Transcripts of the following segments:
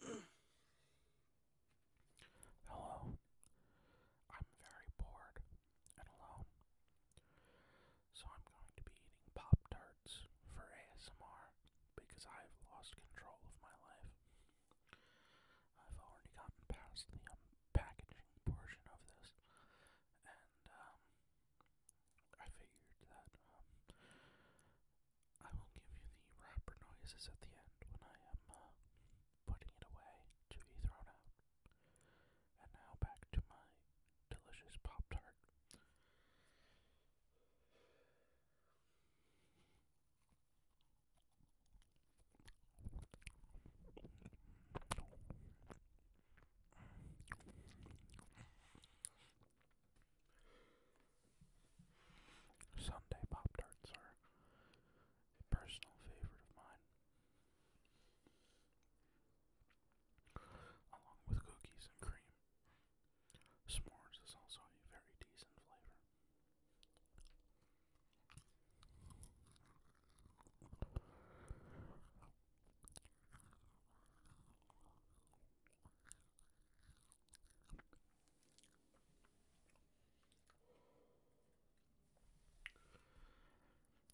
Hello. I'm very bored and alone. So I'm going to be eating Pop Tarts for ASMR because I've lost control of my life. I've already gotten past the unpackaging um, portion of this, and um, I figured that um, I will give you the wrapper noises at the end when I am uh, putting it away to be thrown out. And now back to my delicious Pop Tart. Sunday Pop Tarts are a personal favorite of mine. Along with cookies and cream, s'mores is also a very decent flavor.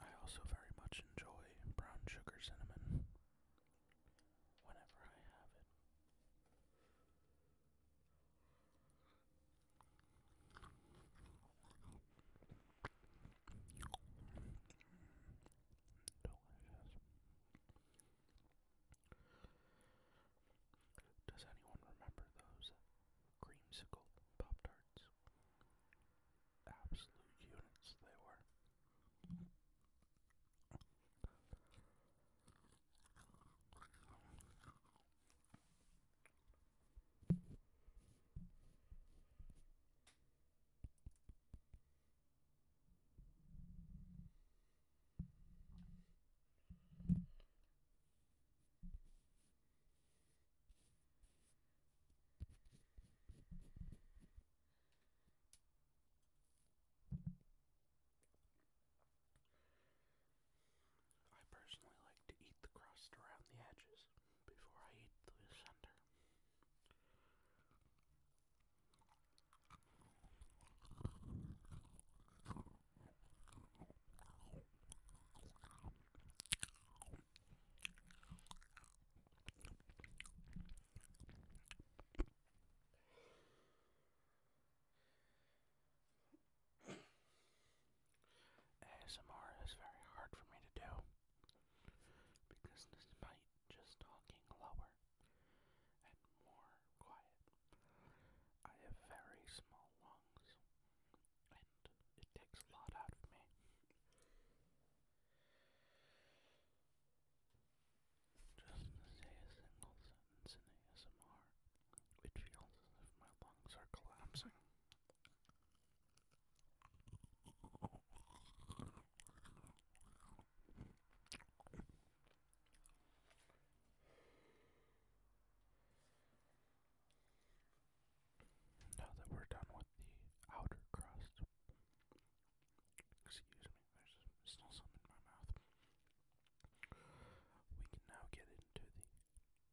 I also very much enjoy brown sugar cinnamon whenever I have it. Delicious. Does anyone remember those creamsicle Pop Tarts? Absolute units they were. I personally like to eat the crust around the edges before I eat the center. ASMR is very hard for me to do because this despite just talking lower and more quiet. I have very small lungs, and it takes a lot out of me. Just to say a single sentence in ASMR, it feels as if my lungs are collapsing. Now that we're done with the outer crust, excuse me, there's still some in my mouth. We can now get into the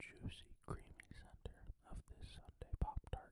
juicy, creamy center of this Sunday Pop Tart.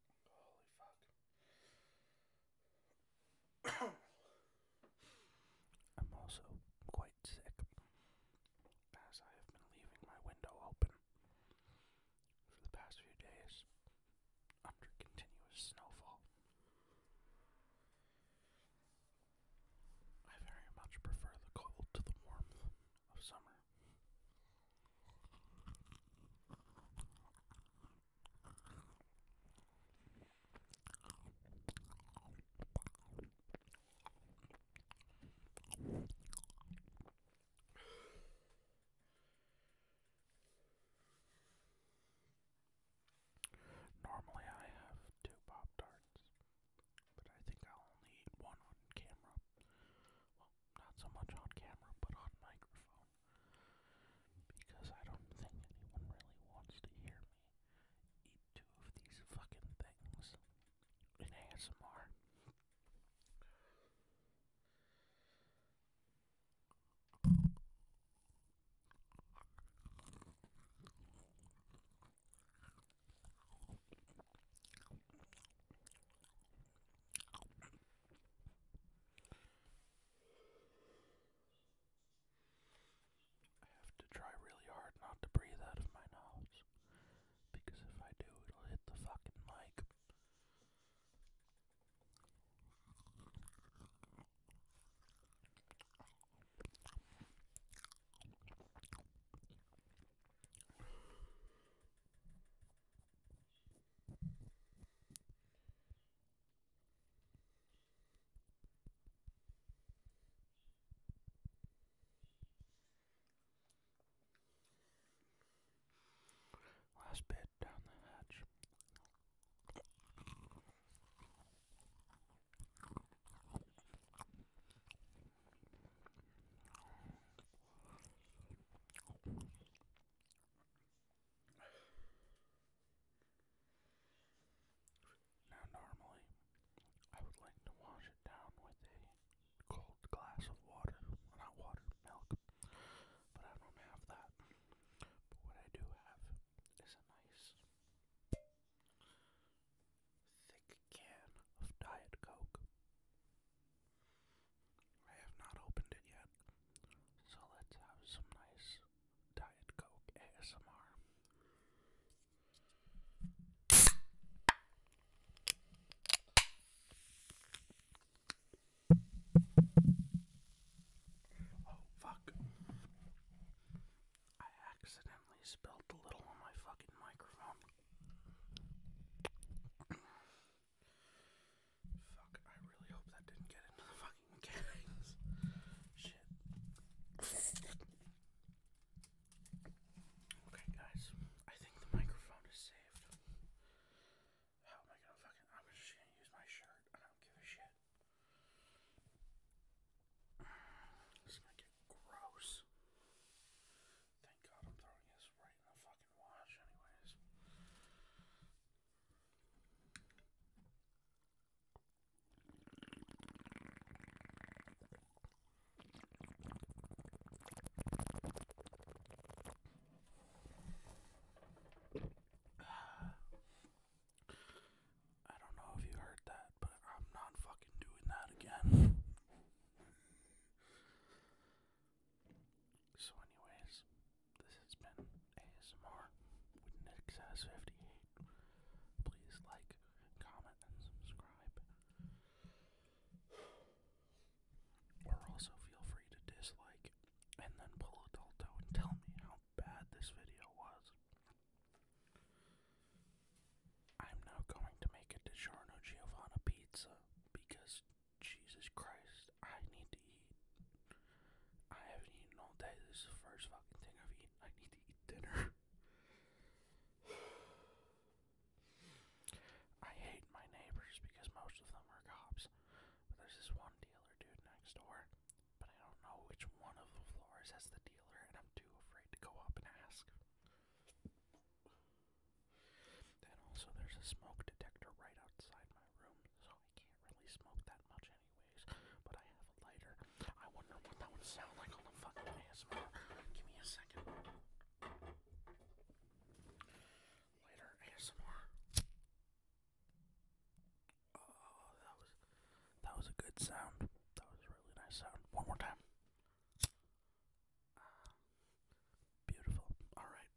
Holy fuck. I'm also quite sick, as I have been leaving my window open for the past few days under continuous snowfall. I very much prefer the cold to the warmth of summer. Normally, I have two Pop Tarts, but I think I'll only eat one on camera. Not so much on camera, but on microphone. Because I don't think anyone really wants to hear me eat two of these fucking things in ASMR. I have to try really hard not to breathe out of my nose. Because if I do, it'll hit the fucking mic. Last bit down the hatch. Now, normally, I would like to wash it down with a cold glass of water. not water, milk. But I don't have that. But what I do have is a nice thick can of Diet Coke. I have not opened it yet. So let's have some nice Diet Coke ASMR. Oh, fuck. I accidentally spilled a little on my fucking microphone. Fuck, I really hope that didn't get into the fucking cans. Shit. Okay, guys, I think the microphone is saved. How oh am I gonna fucking. I'm just gonna use my shirt. I don't give a shit. This is gonna get gross. Thank God I'm throwing this right in the fucking wash, anyways. I don't know if you heard that, but I'm not fucking doing that again. So, anyways, this has been ASMR with NixS58. Please like, comment, and subscribe. Or also feel free to dislike and then pull a Dalto and tell me how bad this video was. I'm now going to make a DiGiorno Giovanna pizza because Jesus Christ, I need to eat. I haven't eaten all day. This is the first fucking thing I've eaten. I need to eat dinner. I hate my neighbors because most of them are cops. But there's this one dealer dude next door. But I don't know which one of the floors has the dealer, and I'm too afraid to go up and ask. Then also there's a smoke detector right outside my room, so I can't really smoke that much anyways. But I have a lighter. I wonder what that would sound like on the fucking ASMR. Give me a second. Lighter ASMR. Oh, that was that was a good sound. That was a really nice sound. One more time beautiful. Alright.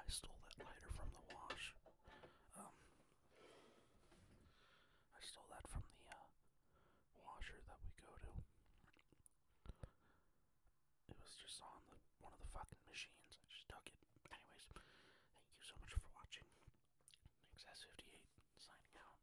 I stole that lighter from the wash. Um, I stole that from the uh, washer that we go to. It was just on the, one of the fucking machines. I just took it. Anyways, thank you so much for watching. XS58 signing out.